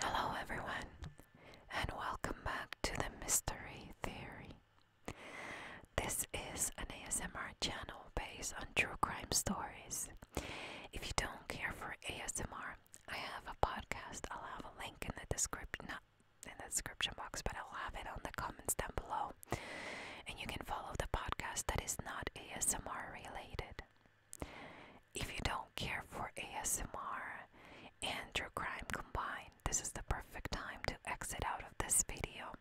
Hello, everyone, and welcome back to the Mystery Theory. This is an ASMR channel based on true crime stories. If you don't care for ASMR, I have a podcast. I'll have a link in the description, box, but I'll have it on the comments down below. And you can follow the podcast that is not ASMR related. If you don't care for ASMR and true crime combined, this is the perfect time to exit out of this video.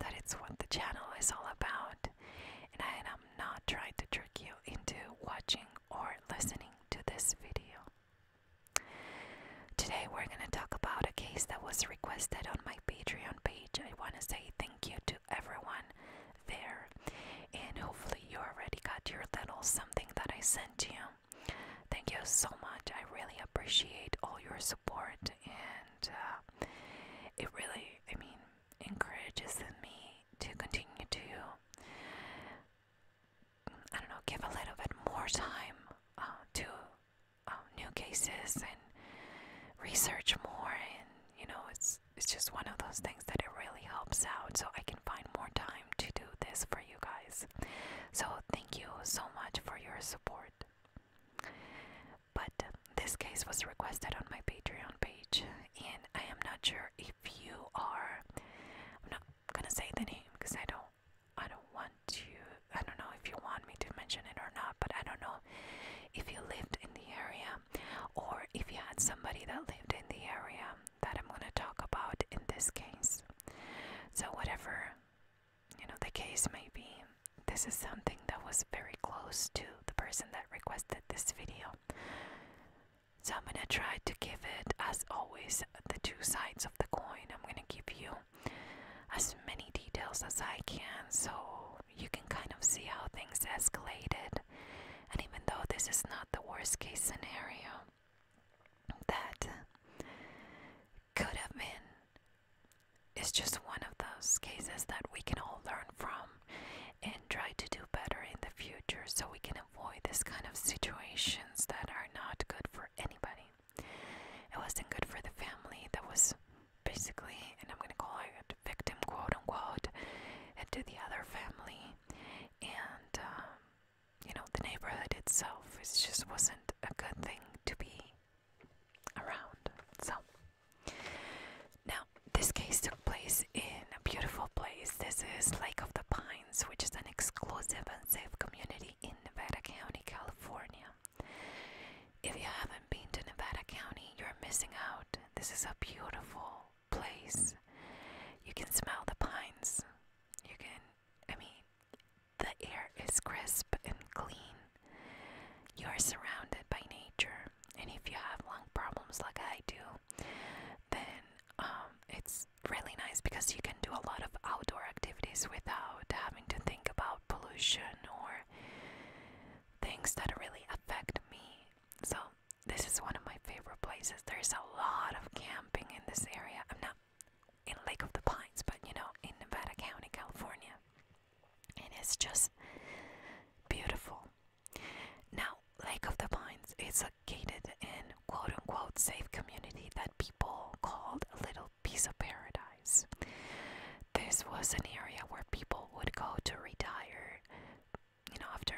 That it's what the channel is all about, and I am not trying to trick you into watching or listening to this video. Today, we're going to talk about a case that was requested on my Patreon page. I want to say thank you to everyone there. And hopefully, you already got your little something that I sent you. Thank you so much. I really appreciate all your support, and uh, it really, I mean, encourages me to continue to, I don't know, give a little bit more time uh, to uh, new cases and research more. And you know, it's it's just one of those things that it really helps out so I can find more time to do this for you guys. So thank you so much for your support. But this case was requested on my Patreon page and I am not sure if you are I'm not gonna say the name because I don't I don't want to I don't know if you want me to mention it or not, but I don't know if you lived in the area or if you had somebody that lived in the area that I'm going to talk about in this case. So, whatever you know, the case may be, this is something that was very close to the person that requested this video. So, I'm going to try to give it, as always, the two sides of the coin. I'm going to give you as many details as I can so you can kind of see how things escalated and even though this is not the worst case scenario, that could have been, it's just one of those cases that we can all learn from and try to do better in the future so we can avoid this kind of situations that are not good for anybody. It wasn't good for the family that was basically, and I'm going to call it victim, quote unquote, and to the other family and um, you know the neighborhood itself it just wasn't a good thing to be around so now this case took place in a beautiful place this is lake of the pines which is an exclusive and safe community in nevada county california if you haven't been to nevada county you're missing out this is a beautiful place. You can smell the pines. You can, I mean, the air is crisp and clean. You are surrounded by nature, and if you have lung problems like I do, then um, it's really nice because you can do a lot of outdoor activities without having to think about pollution or things that really affect me. So this is one of my favorite places. There's a lot of camping in this area. I'm not in Lake of the Pines, but you know, in Nevada County, California. And it's just beautiful. Now, Lake of the Pines is located in quote unquote safe community that people called a little piece of paradise. This was an area where people would go to retire, you know, after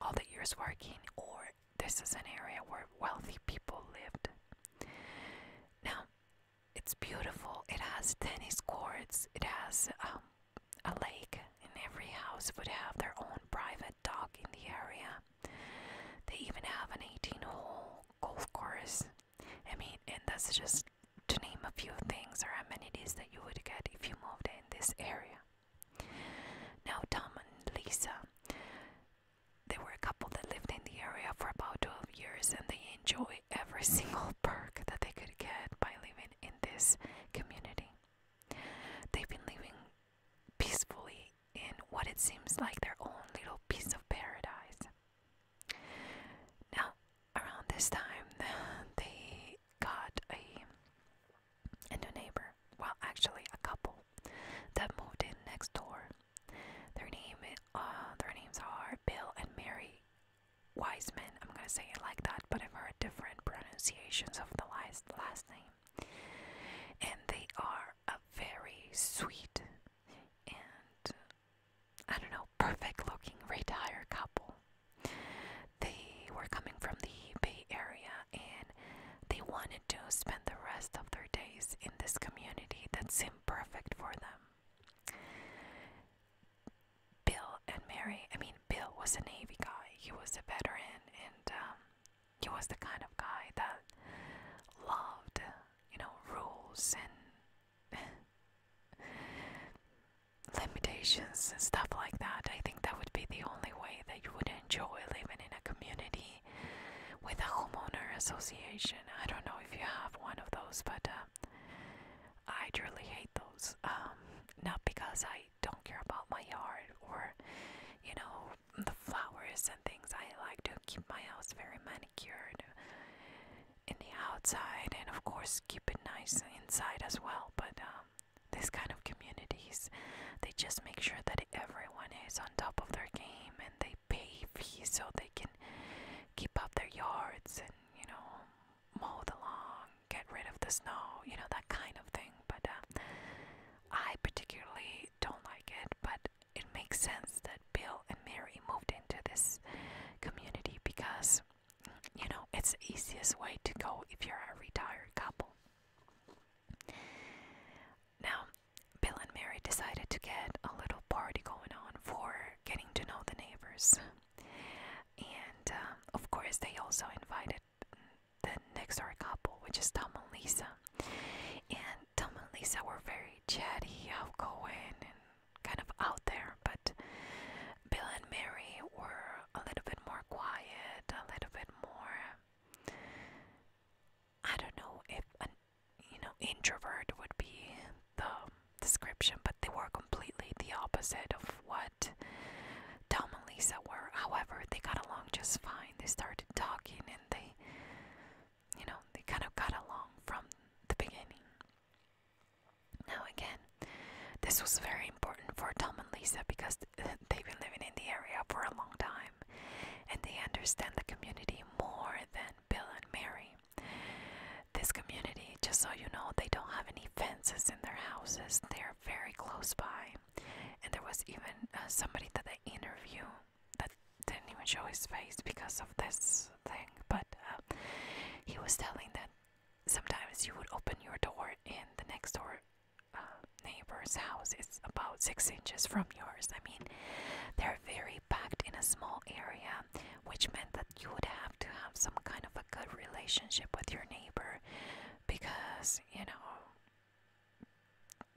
all the years working, or this is an area where wealthy people lived. Now, it's beautiful. It has tennis courts, it has um, a lake, and every house would have their own private dock in the area. They even have an 18 hole golf course. I mean, and that's just to name a few things or amenities that you would get if you moved in this area. Now, Tom and Lisa, they were a couple that lived in the area for about 12 years and they enjoy every single perk that they could get by living in this community. They've been living peacefully in what it seems like their own little piece of paradise. Now, around this time, they got a and a neighbor, well, actually a couple, that moved in next door. Their name, ah, their names are Bill and Mary Wiseman. I'm gonna say it like that, but I've heard different pronunciations of the last last name. And they are a very sweet and I don't know, perfect looking retired couple. They were coming from the Bay Area and they wanted to spend the rest of their days in this community that seemed perfect for them. Bill and Mary, I mean, Bill was a Navy guy, he was a veteran, and um, he was the kind of guy that loved, you know, rules and limitations and stuff like that. I think that would be the only way that you would enjoy living in a community with a homeowner association. I don't know if you have one of those, but uh, I truly hate those. Um, not because I don't care about my yard or, you know, the flowers and things. I like to keep my house very manicured in the outside and, of course, keep it nice inside as well, but. Um, these kind of communities they just make sure that everyone is on top of their game and they pay fees so they can keep up their yards and you know mow the lawn get rid of the snow you know that kind of thing but uh, i particularly don't like it but it makes sense that bill and mary moved into this community because you know, it's the easiest way to go if you're a retired couple. Now, Bill and Mary decided to get a little party going on for getting to know the neighbors. And uh, of course, they also invited the next door couple, which is Tom and Lisa. And Tom and Lisa were very chatty, outgoing, and kind of out there, but Bill and Mary were a little bit more quiet, a little bit more. I don't know if you know introvert would be the description, but they were completely the opposite of what Tom and Lisa were. However, they got along just fine. They started talking, and they, you know, they kind of got along from the beginning. Now again, this was very important for Tom and Lisa because they've been living in the area for a long time and they understand the community more than Bill and Mary. This community, just so you know, they don't have any fences in their houses, they're very close by. And there was even uh, somebody that I interview that didn't even show his face because of this thing, but uh, he was telling that sometimes you would open your door and the next door uh, neighbor's house is about six inches from yours. I mean, they're very packed in a small area, which meant that you would have to have some kind of a good relationship with your neighbor because you know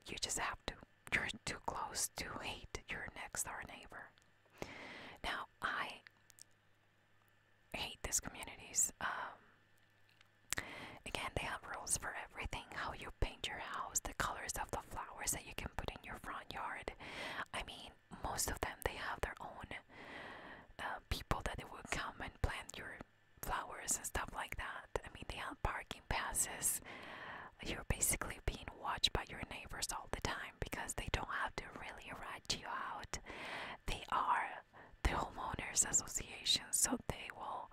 you just have to. You're too close to hate your next door neighbor. Now, I hate these communities. Um, again, they have rules for everything how you paint your house, the colors of the flowers that you can put in your front yard. I mean, most of them they have their own uh, people that they will come and plant your flowers and stuff like that. I mean, they have parking passes. You're basically being watched by your neighbors all the time because they don't have to really rat you out. They are the homeowners association, so they will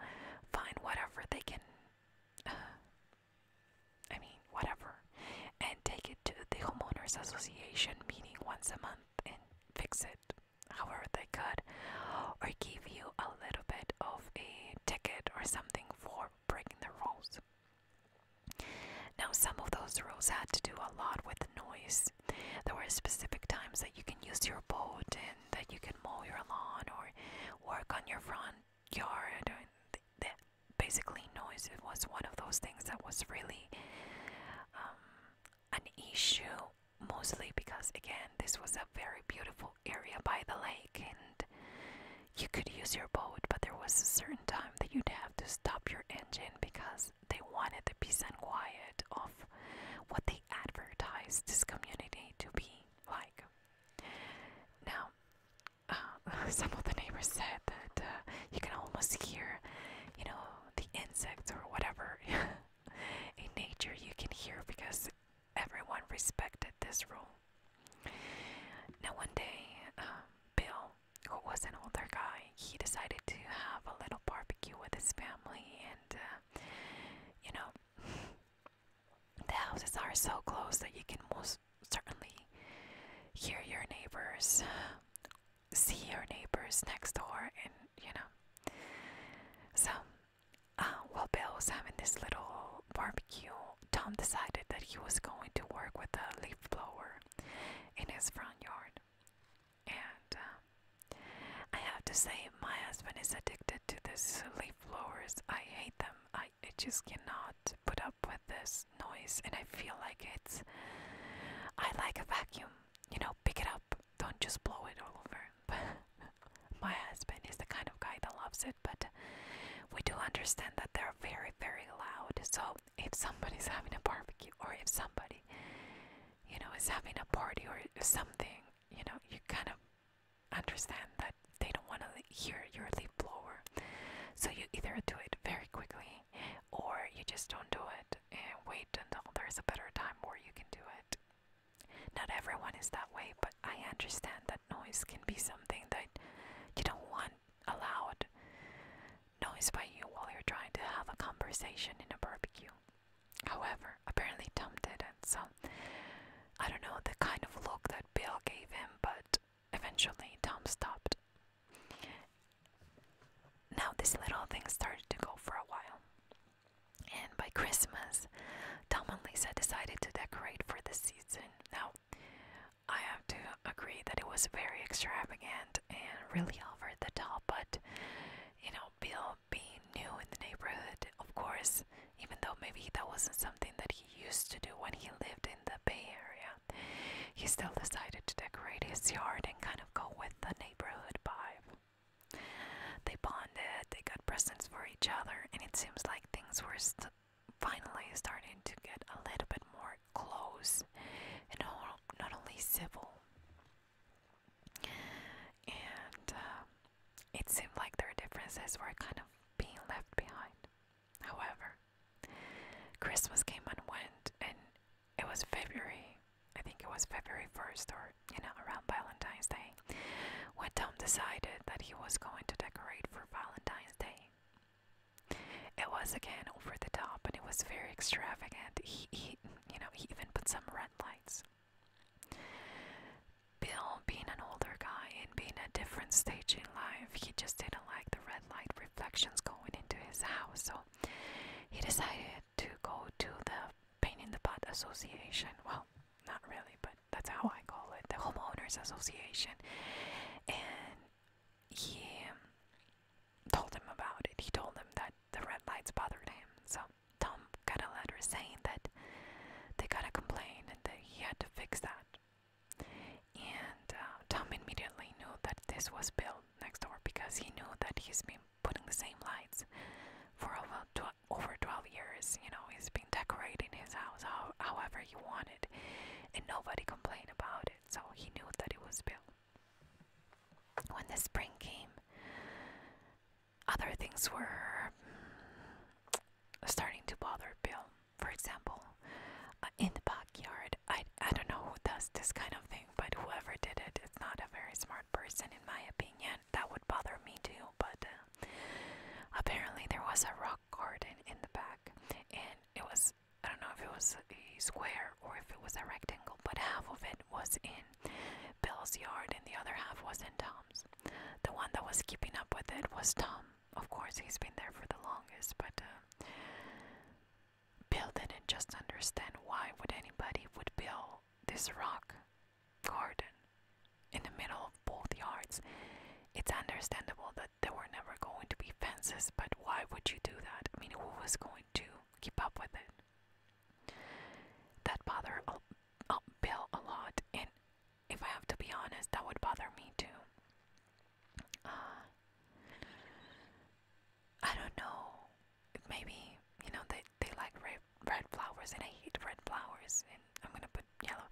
find whatever they can. I mean, whatever, and take it to the homeowners association meeting once a month and fix it however they could, or give you a little bit of a ticket or something for breaking the rules. Now, some of those rules had to do a lot with noise hours. There were specific times that you can use your boat and that you can mow your lawn or work on your front yard. And th th basically, noise it was one of those things that was really um, an issue, mostly because, again, this was a very beautiful area by the lake and you could use your boat, but there was a certain time that you'd have to stop your engine because they wanted the peace and quiet of what they advertised this community to be like. Now, uh, some of the neighbors said that uh, you can almost hear, you know, the insects or whatever in nature you can hear because everyone respected this rule. Now, one day, uh, Bill, who was an older guy, he decided to have a little barbecue with his family, and uh, you know, the houses are so close that you can most certainly hear your neighbors, see your neighbors next door, and you know. So, uh, while Bill was having this little barbecue, Tom decided that he was going to work with a leaf blower in his front yard. And um, I have to say, my husband is addicted to these leaf blowers. I hate them. I, I just cannot put up with this noise, and I feel like it's. I like a vacuum. You know, pick it up. Don't just blow it all over. my husband is the kind of guy that loves it, but we do understand that they're very, very loud. So if somebody's having a barbecue or if somebody you know, is having a party or something, you know, you kind of understand that they don't want to hear your leaf blower. So you either do it very quickly or you just don't do it and wait until there's a better time where you can do it. Not everyone is that way, but I understand that noise can be something that you don't want allowed noise by you while you're trying to have a conversation in a barbecue. However, apparently Tom didn't, so I don't know the kind of look that Bill gave him, but eventually Tom stopped. Now, this little thing started to go for a while, and by Christmas, Tom and Lisa decided to decorate for the season. Now, I have to agree that it was very extravagant and really over the top, but you know, Bill being new in the neighborhood, of course, even though maybe that wasn't something that he used to do when he lived in the Bay Area, he still decided to decorate his yard and kind of go with the neighborhood vibe. They bonded, they got presents for each other, and it seems like things were finally starting to get a little bit more close and not only civil. And uh, it seemed like there were differences where I kind of being left behind. However, Christmas came and went, and it was February. I think it was February 1st or, you know, around Valentine's Day, when Tom decided that he was going to decorate for Valentine's Day. It was again over the top and it was very extravagant. he you know, he even put some red lights. Bill, being an older guy and being a different stage in life, he just didn't like the red light reflections going into his house, so he decided to go to the Pain in the Pot Association. Well, not really, but that's how I call it the Homeowners Association. And he told him about it. He told him that the red lights bothered him. So Tom got a letter saying that they got a complaint and that he had to fix that. And uh, Tom immediately knew that this was built next door because he knew that he's been putting the same lights for over, over 12 years. You know, he's been decorating his house however he wanted, and nobody complained about it. So he knew that it was built. When the spring came, other things were mm, starting to bother Bill. For example, uh, in the backyard, I, I don't know who does this kind of thing, but whoever did it is not a very smart person, in my opinion. That would bother me too, but uh, apparently there was a rock garden in the back, and it was I don't know if it was a square or if it was a rectangle, but half of it was in Bill's yard and the other half was in Tom's. The one that was keeping up with it was Tom. Of course, he's been there for the longest, but uh, Bill didn't just understand why would anybody would build this rock garden in the middle of both yards. It's understandable that there were never going to be fences, but why would you do that? I mean, who was going to keep up with it. That bother uh, uh, Bill a lot, and if I have to be honest, that would bother me too. Uh, I don't know. Maybe you know they they like red red flowers, and I hate red flowers, and I'm gonna put yellow.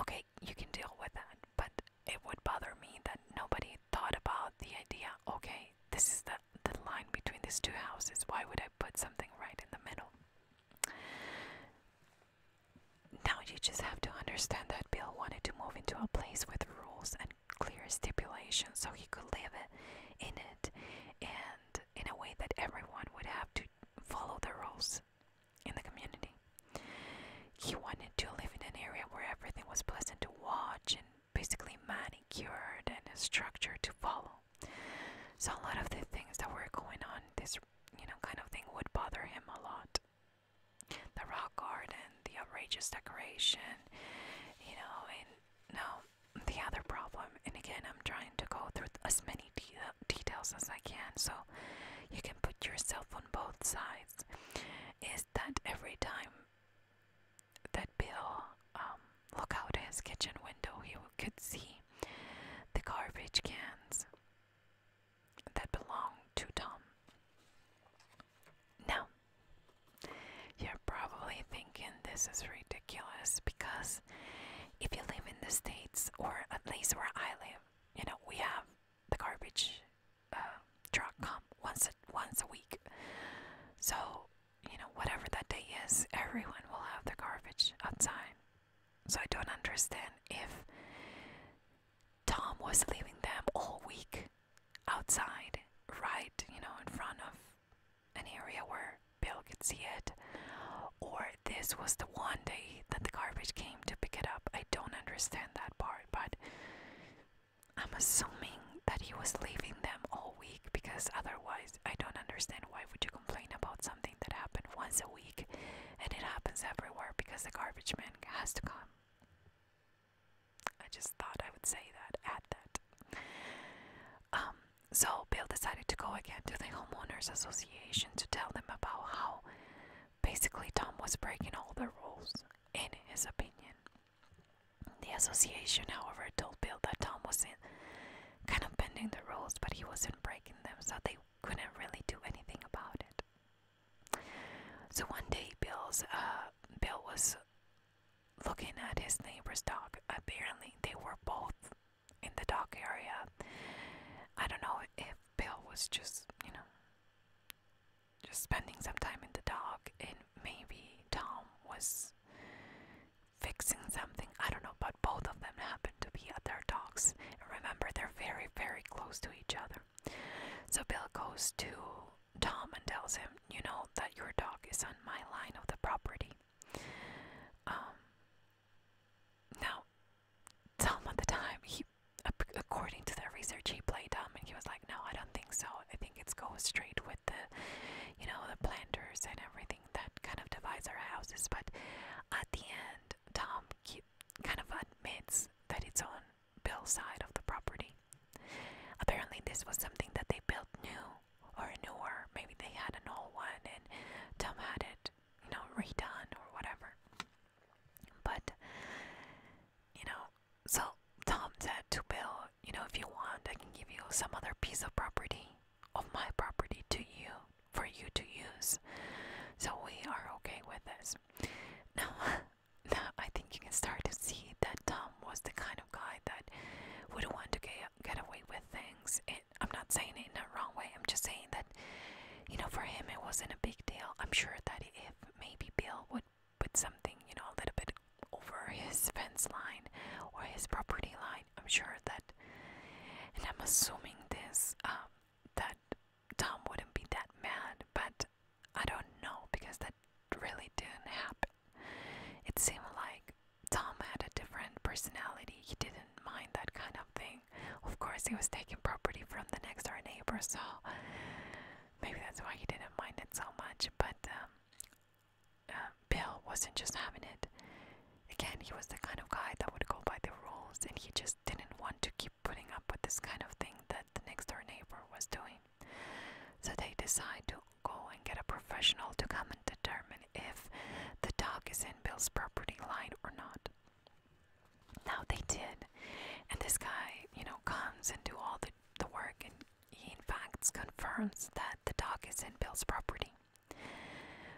Okay, you can deal with that, but it would bother me that nobody thought about the idea. Okay, this is the, the line between these two houses. Why would I put something right in the middle? Now you just have to understand that Bill wanted to move into a place with rules and clear stipulations so he could live in it and in a way that everyone would have to follow the rules in the community. He wanted to live in an area where everything was pleasant to watch and basically manicured and structured to follow. So a lot of the things that were going on, this you know kind of thing would bother him a lot. The rock garden, the outrageous decoration, you know, and no, the other problem. And again, I'm trying to go through as many details as I can, so you can put yourself on both sides. Is that every time that Bill um, look out his kitchen window, he could see the garbage cans that belonged to Tom. Now, you're probably thinking this is ridiculous because if you live in the States, or at least where I live, you know, we have the garbage truck uh, come once once a week. So you know whatever that day is, everyone will have their garbage outside. So I don't understand if Tom was leaving them all week outside, right, you know, in front of an area where Bill could see it, or this was the one day that the garbage came to pick it up. I don't understand that part, but I'm assuming that he was leaving them all week because otherwise I don't understand why would you complain about something that happened once a week and it happens everywhere because the garbage man has to come. I just thought I would say that, at that. Um, so Bill decided to go again to the homeowners association to tell them about how basically Tom was breaking all the rules in his opinion. The association, however, told Bill that Tom was not kind of bending the rules, but he wasn't breaking them, so they couldn't really do anything about it. So one day, Bill's uh, Bill was looking at his neighbor's dog. Apparently, they were both in the dog area. I don't know if Bill was just, you know, just spending some time in the dark, and maybe Tom was fixing something. I don't know, but both of them happened to be at their dogs. And remember, they're very, very close to each other. So Bill goes to Tom and tells him, You know that your dog is on my line of the property. Um, now, Tom at the time, he, according to the research he played dumb, and he was like, No, I don't think so. I think it's goes straight with the, you know, the planters and everything that kind of divides our houses. But at the end, Tom kind of admits that it's on Bill's side of the property. Apparently, this was something that they built new or newer. Maybe they had an old one and Tom had it, you know, redone or whatever. But, you know, so Tom said to Bill, you know, if you want, I can give you some other piece of property, of my property to you, for you to use. So we are okay with this. Now, now I think you can start to see that Tom was the kind of guy that would want to get, get away with things. It, I'm not saying it in a wrong way, I'm just saying that, you know, for him it wasn't a big deal. I'm sure that if maybe Bill would with something, you know, a little bit over his fence line or his property line. I'm sure that, and I'm assuming this, um, that Tom wouldn't be that mad, but I don't know because that really didn't happen. It seemed like Tom had a different personality. He didn't mind that kind of thing. Of course, he was taking property from the next door neighbor, so Maybe that's why he didn't mind it so much, but um, uh, Bill wasn't just having it. Again, he was the kind of guy that would go by the rules, and he just didn't want to keep putting up with this kind of thing that the next door neighbor was doing. So they decide to go and get a professional to come and determine if the dog is in Bill's property line or not. Now they did, and this guy, you know, comes and do all the the work and he, in fact, confirms that the dog is in Bill's property.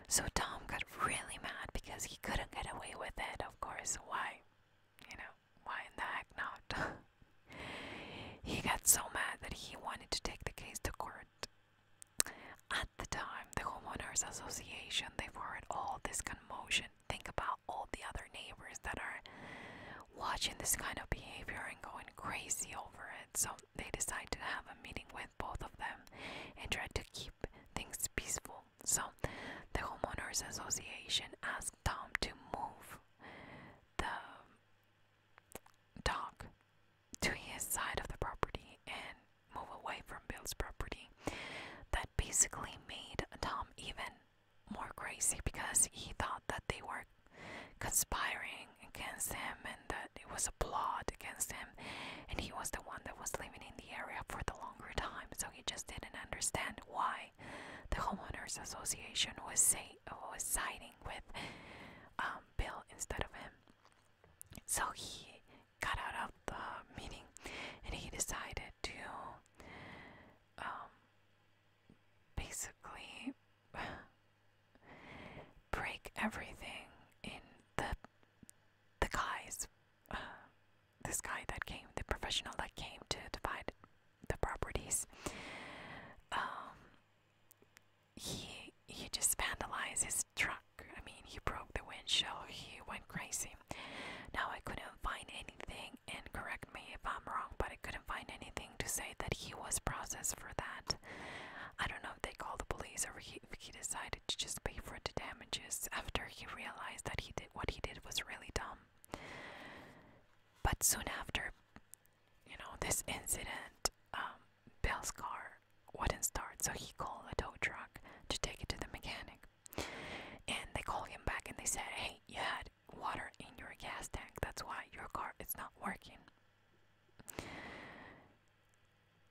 So Tom got really mad because he couldn't get away with it, of course. Why? You know, why in the heck not? he got so mad that he wanted to take the case to court. At the time, the Homeowners Association, they were heard all this commotion. Think about all the other neighbors that are watching this kind of behavior and going crazy over it. So they decide to have a meeting with both of them and try to keep things peaceful. So the homeowners association asked Tom to move the dog to his side of the property and move away from Bill's property. That basically made Tom even more crazy because he thought that they were conspiring against him and that it was a plot against him and he was the one that was living in the area for the longer time so he just didn't understand why the homeowners association was say was siding with um, Bill instead of him so he got out of the meeting and he decided to um, basically break everything in the the guys. Uh, this guy that came, the professional that came to divide the properties. Um, he he just vandalized his truck. I mean, he broke the windshield. He went crazy. Now I couldn't couldn't find anything, and correct me if I'm wrong, but I couldn't find anything to say that he was processed for that. I don't know if they called the police or he, if he decided to just pay for the damages after he realized that he did what he did was really dumb. But soon after, you know, this incident, um, Bill's car wouldn't start, so he called a tow truck to take it to the mechanic. And they called him back and they said, Hey, you had water in your gas tank. That's why your car is not working.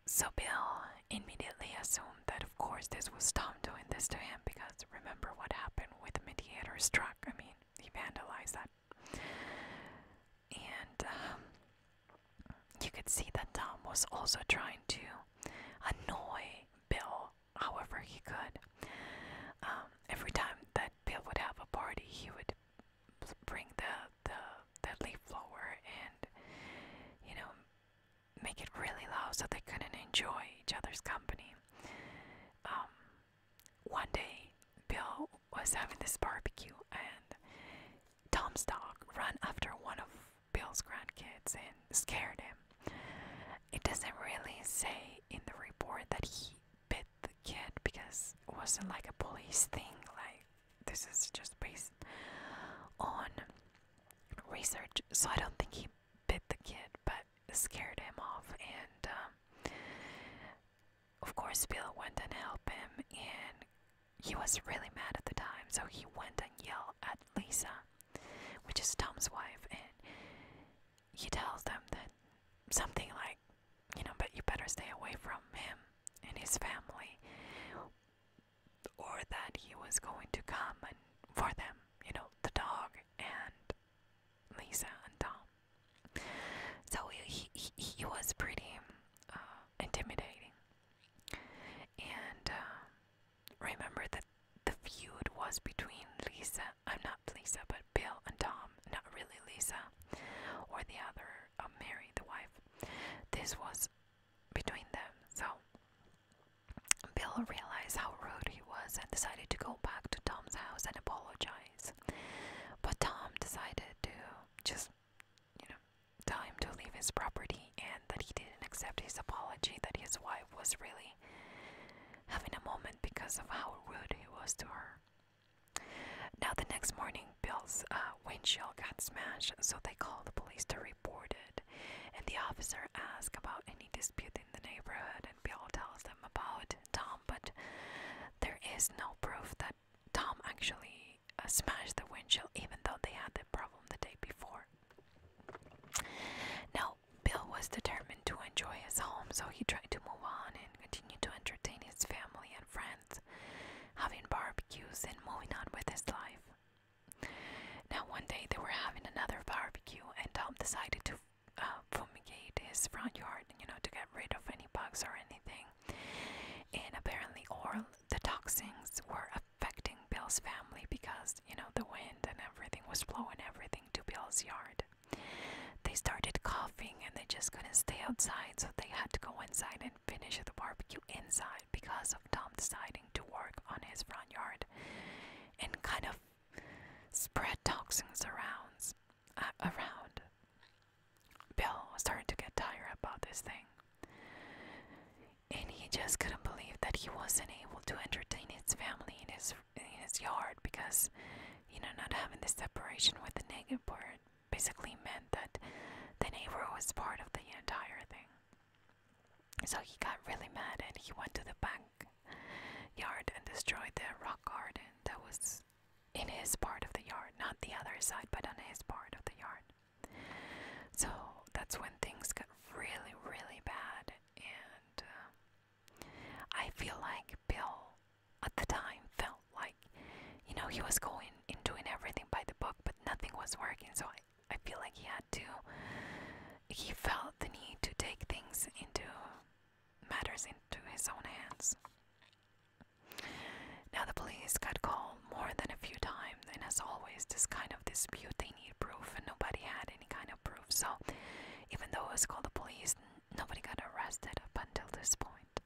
So Bill immediately assumed that, of course, this was Tom doing this to him because remember what happened with the mediator's truck. I mean, he vandalized that. And um, you could see that Tom was also trying to annoy Bill however he could. Um, every time that Bill would have a party, he would bring the, the, the leaf blower and, you know, make it really loud so they couldn't enjoy each other's company. Um, one day, Bill was having this barbecue, and Tom's dog ran after one of Bill's grandkids and scared him. It doesn't really say in the report that he bit the kid because it wasn't like a police thing. Like this is just based on research, so I don't think he bit the kid, but scared him off. And um, of course, Bill went and helped him, and he was really mad at the time, so he went and yelled at Lisa, which is Tom's wife, and he tells them that something like, you know, but you better stay away from him and his family, or that he was going to come and for them, you know, the dog and Lisa and Tom. So he he, he was pretty uh, intimidating, and uh, remember that the feud was between Lisa, I'm not Lisa, but Bill and Tom, not really Lisa, or the other, um, Mary, the wife. This was between them, so Bill realized how rude he was and decided to go back to Tom's house and apologize. But Tom decided to just, you know, tell him to leave his property and that he didn't accept his apology, that his wife was really having a moment because of how rude he was to her. Now, the next morning, Bill's uh, windshield got smashed, so they called the police to report it. And the officer asked about any dispute in the neighborhood, and Bill tells them about Tom, but there is no proof that Tom actually uh, smashed the windshield, even though they had the problem the day before. Now, Bill was determined to enjoy his home, so he tried to move on and continue to entertain his family and friends, having barbecues and moving on with his life. Now, one day they were having another barbecue, and Tom decided to uh, fumigate his front yard, you know, to get rid of any bugs or anything. And apparently, all the toxins were affecting Bill's family because, you know, the wind and everything was blowing everything to Bill's yard. They started coughing and they just couldn't stay outside, so they had to go inside and finish the barbecue inside because of Tom deciding to work on his front yard and kind of spread toxins around. Uh, around. Bill started to get tired about this thing. And he just couldn't believe that he wasn't able to entertain his family and his in his yard because you know not having the separation with the negative part basically meant that the neighbor was part of the entire thing. So he got really mad and he went to the back yard and destroyed the rock garden that was in his part of the yard, not the other side, but on his part of the yard. So that's when things got really, really bad, and uh, I feel like Bill at the time felt like, you know, he was going and doing everything by the book, but nothing was working. So I, I feel like he had to, he felt the need to take things into matters into his own hands. Now the police got called more than a few times, and as always, this kind of dispute they need proof, and nobody had any kind of proof. So even though it was called the police, nobody got arrested up until this point.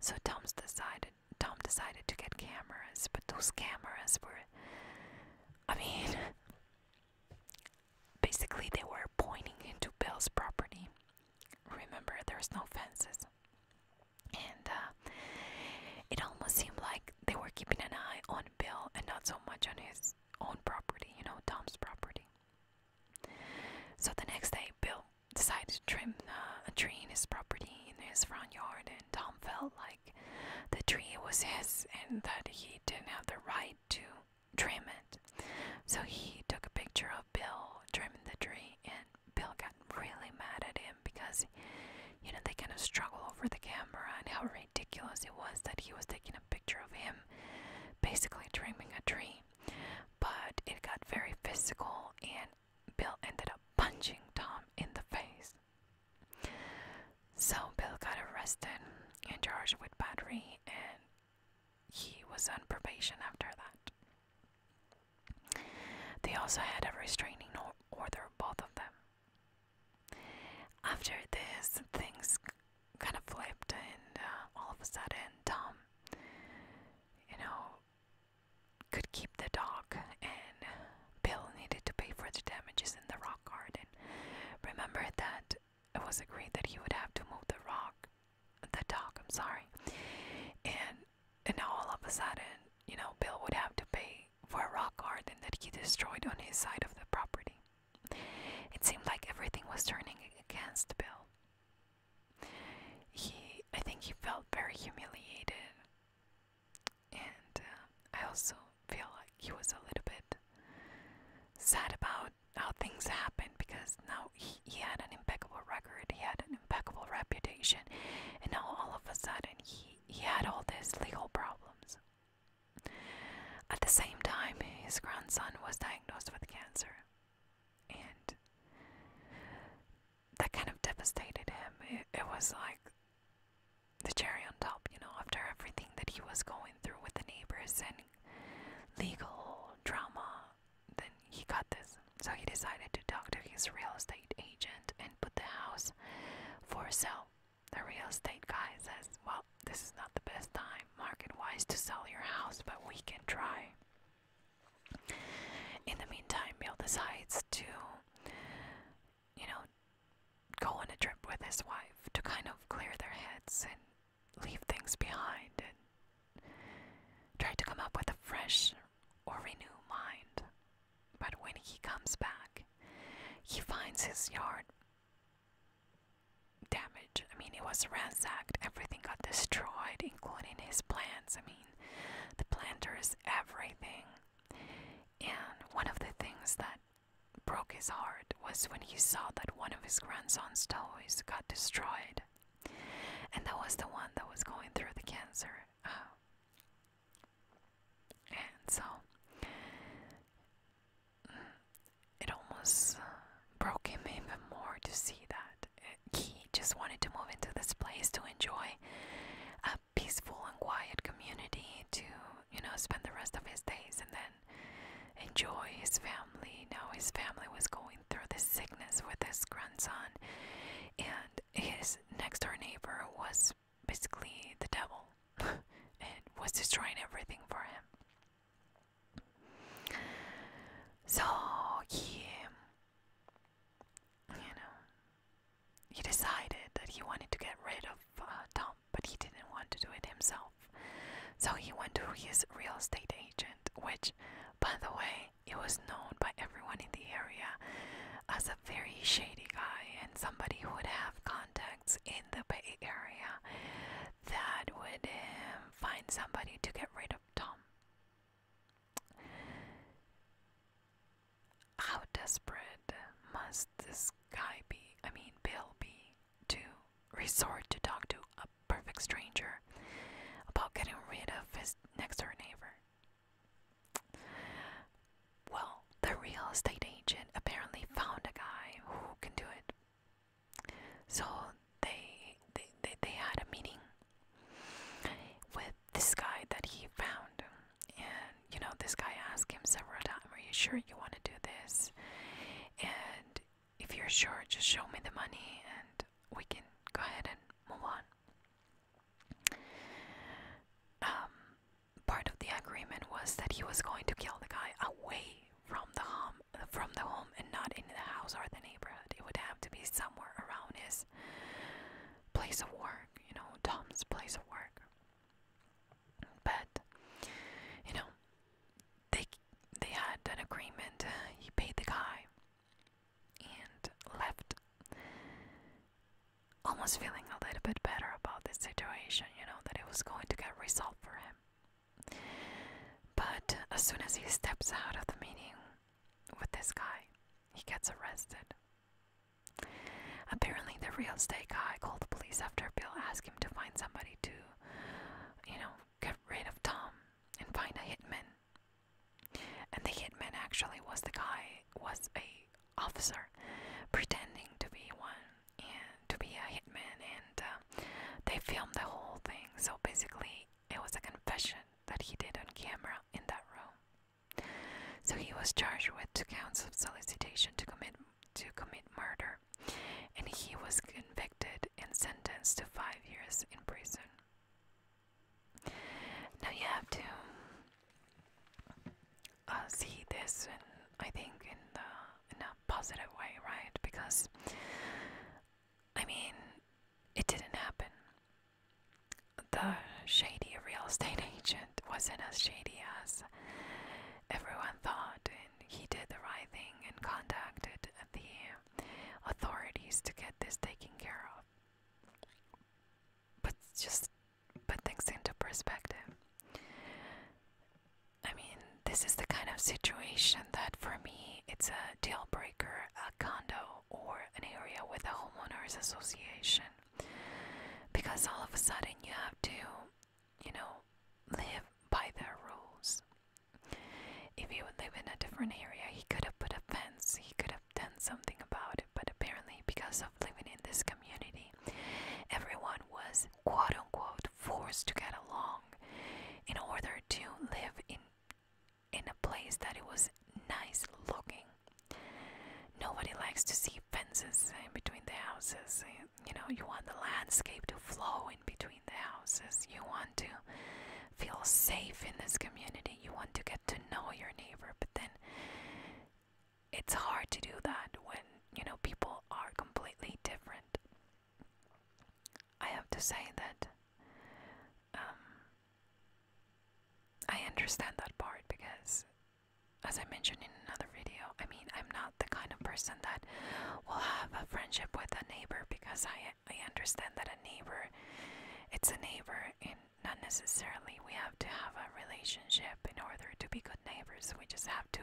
So Tom's decided Tom decided to get cameras, but those cameras were I mean basically they were pointing into Bill's property. Remember there's no fences. And uh, it almost seemed like they were keeping an eye on Bill and not so much on his own property, you know, Tom's property. So the next day, Bill decided to trim uh, a tree in his property in his front yard, and Tom felt like the tree was his and that he didn't have the right to trim it. So he took a picture of Bill trimming the tree, and Bill got really mad at him because, you know, they kind of struggled over the camera and how ridiculous it was that he was taking picture of him basically dreaming a dream, But it got very physical, and Bill ended up punching Tom in the face. So Bill got arrested and charged with battery, and he was on probation after that. They also had a restraining order, both of them. After this, things kind of flipped, and uh, all of a sudden, Tom, you know, could keep the dog, and Bill needed to pay for the damages in the rock garden. Remember that it was agreed that he would have to move the rock, the dog. I'm sorry, and and now all of a sudden, you know, Bill would have to pay for a rock garden that he destroyed on his side of the property. It seemed like everything was turning against Bill. He, I think, he felt very humiliated, and uh, I also feel like he was a little bit sad about how things happened because now he had an impeccable record, he had an impeccable reputation, and now all of a sudden he he had all these legal problems. At the same time, his grandson was diagnosed with cancer, and that kind of devastated him. It, was like the cherry on top, you know, after everything that he was going through with the neighbors and legal drama, then he got this. So he decided to talk to his real estate agent and put the house for sale. The real estate guy says, Well, this is not the best time market wise to sell your house, but we can try. In the meantime, Bill decides to, you know, go on a trip with his wife to kind of clear their heads and leave things behind and try to come up with a fresh or renew mind. But when he comes back, he finds his yard damaged. I mean, it was ransacked. Everything got destroyed, including his plants. I mean, the planters, everything. And one of the things that broke his heart was when he saw that one of his grandson's toys got destroyed. And that was the one that was going through the cancer. Uh, and so it almost broke him even more to see that he just wanted to move into this place to enjoy a peaceful and quiet community to you know spend the rest of his days and then enjoy his family now his family was going through this sickness with his grandson and his next door neighbor was basically the devil and was destroying everything for him so he, you know, he decided that he wanted to get rid of uh, Tom, but he didn't want to do it himself. So he went to his real estate agent, which, by the way, it was known by everyone in the area as a very shady guy and somebody who would have contacts in the Bay Area that would um, find somebody to get rid of Tom. How desperate must this guy be, I mean, Bill be, to resort to talk to a perfect stranger about getting rid of his next door neighbor? Well, the real estate agent apparently found a guy who can do it. So they they, they had a meeting with this guy that he found, and you know this guy asked him several times, "Are you sure you want to do this?" And if you're sure, just show me the money, and we can go ahead and move on. Um, part of the agreement was that he was going to kill the guy away from the home from the home and not in the house or the neighborhood. It would have to be somewhere around his place of work, you know, Tom's place of work. But you know, they they had an agreement. He paid the guy and left almost feeling a little bit better about this situation, you know, that it was going to get resolved for him. But as soon as he steps out of the meeting with this guy, he gets arrested. Apparently, the real estate guy called the police after Bill asked him to find somebody to, you know, get rid of Tom and find a hitman. And the hitman actually was the guy was a officer pretending to be one and to be a hitman, and uh, they filmed the whole thing. So basically, it was a confession that he did on camera in that room. So he was charged with two counts of solicitation to commit to commit murder, and he was convicted and sentenced to five years in prison. Now you have to uh, see this, and I think, in the in a positive way, right? Because I mean, it didn't happen. The shady real estate agent wasn't as shady as everyone thought, and he did the right thing and contacted the authorities to get this taken care of. But just put things into perspective. I mean, this is the kind of situation that for me it's a deal breaker a condo or an area with a homeowners association. Because all of a sudden you have to, you know, live by their rules. If he would live in a different area, he could have put a fence, he could have done something about it, but apparently, because of living in this community, everyone was quote unquote forced to get along in order to live in in a place that it was nice looking. Nobody likes to see fences in between the houses. You know, you want the landscape to flow in between the houses. You want to feel safe in this community. You want to get to know your neighbor, but then it's hard to do that when, you know, people are completely different. I have to say that um, I understand that part because, as I mentioned in another video, I mean, I'm not the kind of person that will have a friendship with a neighbor because I, I understand that a neighbor, it's a neighbor, and not necessarily we have to have a relationship in order to be good neighbors. We just have to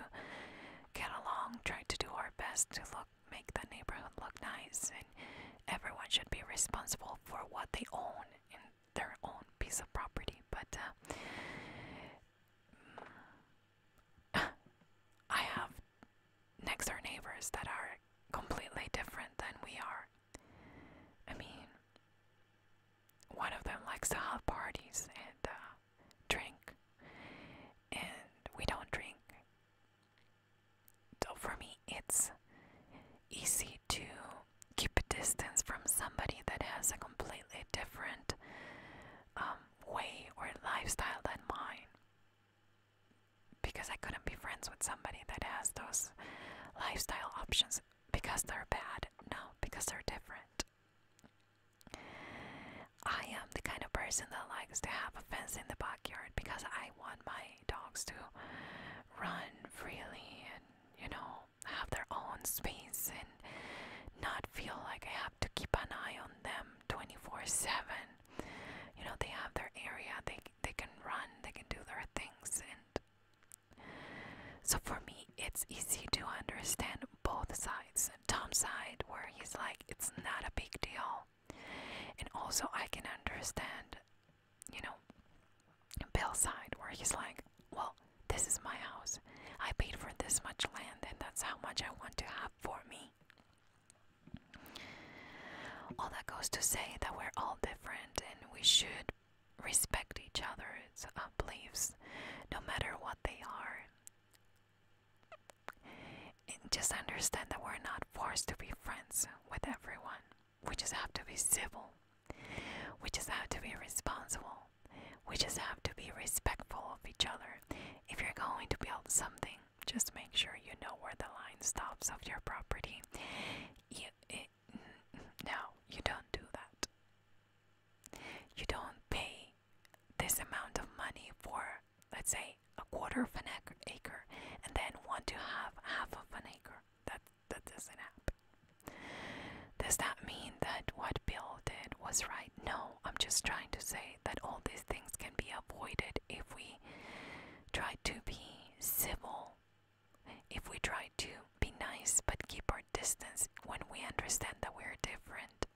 get along, try to do our best to look make the neighborhood look nice and everyone should be responsible for what they own in their own piece of property. But uh, I have next door neighbors that are completely different than we are. I mean, one of them likes to have parties, and uh, drink, and we don't drink. So for me, it's easy to keep a distance from somebody that has a completely different um, way or lifestyle than mine. Because I couldn't be friends with somebody that has those lifestyle options because they're bad. No, because they're different. I am the kind of person that likes to have a fence in the backyard because I want my dogs to run freely and, you know, have their own space and not feel like I have to keep an eye on them 24 7. You know, they have their area, they, they can run, they can do their things. And so for me, it's easy to understand both sides. Tom's side, where he's like, it's not a big deal. And also, I can understand, you know, Bill's side, where he's like, well, this is my house. I paid for this much land, and that's how much I want to have for me. All that goes to say that we're all different and we should respect each other's uh, beliefs, no matter what they are just understand that we're not forced to be friends with everyone. We just have to be civil. We just have to be responsible. We just have to be respectful of each other. If you're going to build something, just make sure you know where the line stops of your property. no, you don't do that. You don't pay this amount of money for, let's say, a quarter of an acre, and then want to have half of an acre. That, that doesn't happen. Does that mean that what Bill did was right? No, I'm just trying to say that all these things can be avoided if we try to be civil, if we try to be nice but keep our distance when we understand that we're different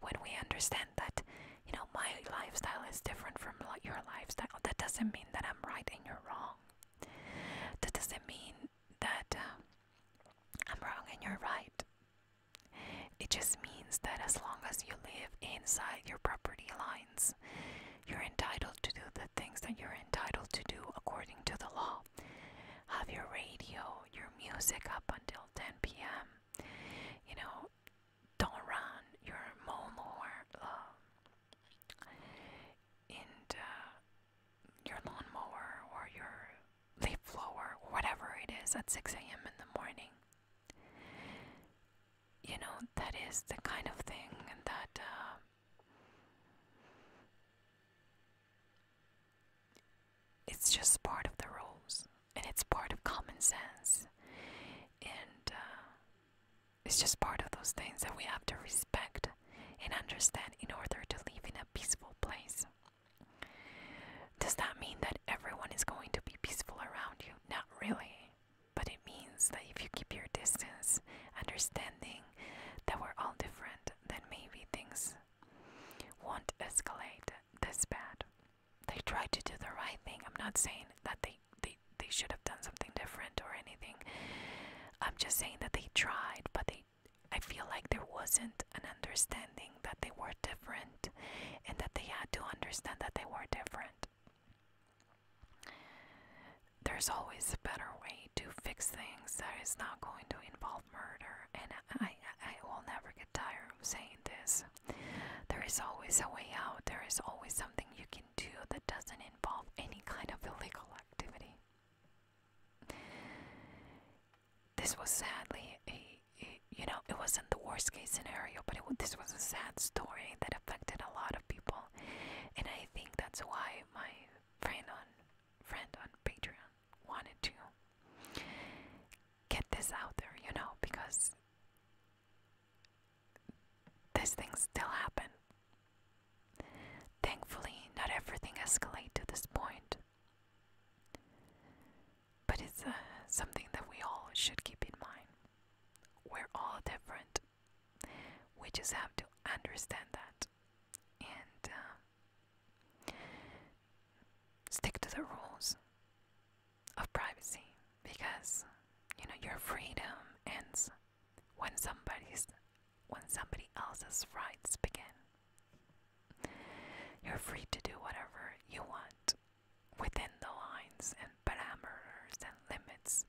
when we understand that you know my lifestyle is different from your lifestyle that doesn't mean that i'm right and you're wrong that doesn't mean that um, i'm wrong and you're right it just means that as long as you live inside your property lines you're entitled to do the things that you're entitled to do according to the law have your radio your music up until 10 p.m. You know, don't run your lawnmower uh, and uh, your lawnmower or your leaf blower, whatever it is, at 6 a.m. in the morning. You know, that is the kind of thing that. Uh, it's just part of the rules, and it's part of common sense, and uh, it's just part of those things that we have to respect and understand in order to live in a peaceful place. Does that mean that everyone is going to be peaceful around you? Not really. But it means that if you keep your distance, understanding that we're all different, then maybe things will escalate this bad. They tried to do the right thing. I'm not saying that they, they, they should have done something different or anything. I'm just saying that they tried, but they I feel like there wasn't an understanding that they were different and that they had to understand that they were different. There's always a better way to fix things that is not going to involve murder, and I, I will never get tired of saying this. There is always a way out, there is always something you can do that doesn't involve any kind of illegal activity. This was sadly a, you know, it wasn't the worst case scenario, but this was a sad story that affected a lot of people, and I think that's why my friend on friend on Patreon wanted to get this out there, you know, because these things still happen. Thankfully, not everything escalates to this point. But it's uh, something that we all should keep in mind. We're all different. We just have to understand that and um, stick to the rules of privacy because you know your freedom ends when somebody's when somebody else's rights begin. You're free to do whatever you want within the lines and parameters and limits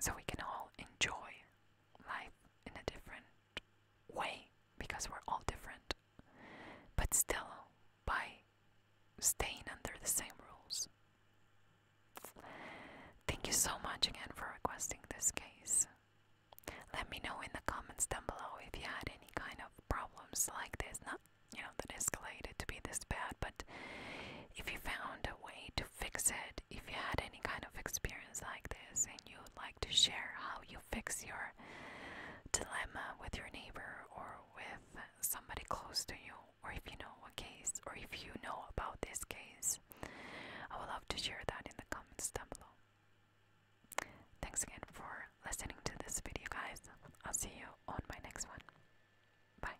so we can all enjoy life in a different way because we're all different. But still, by staying under the same rules. Thank you so much again for requesting this case. Let me know in the comments down below if you had any kind of problems like this. Not, you know, that escalated to be this bad, but if you found a way to fix it. If you had any kind of experience like this and you would like to share how you fix your dilemma with your neighbor or with somebody close to you, or if you know a case or if you know about this case, I would love to share that in the comments down below. Thanks again for listening to this video, guys. I'll see you on my next one. Bye.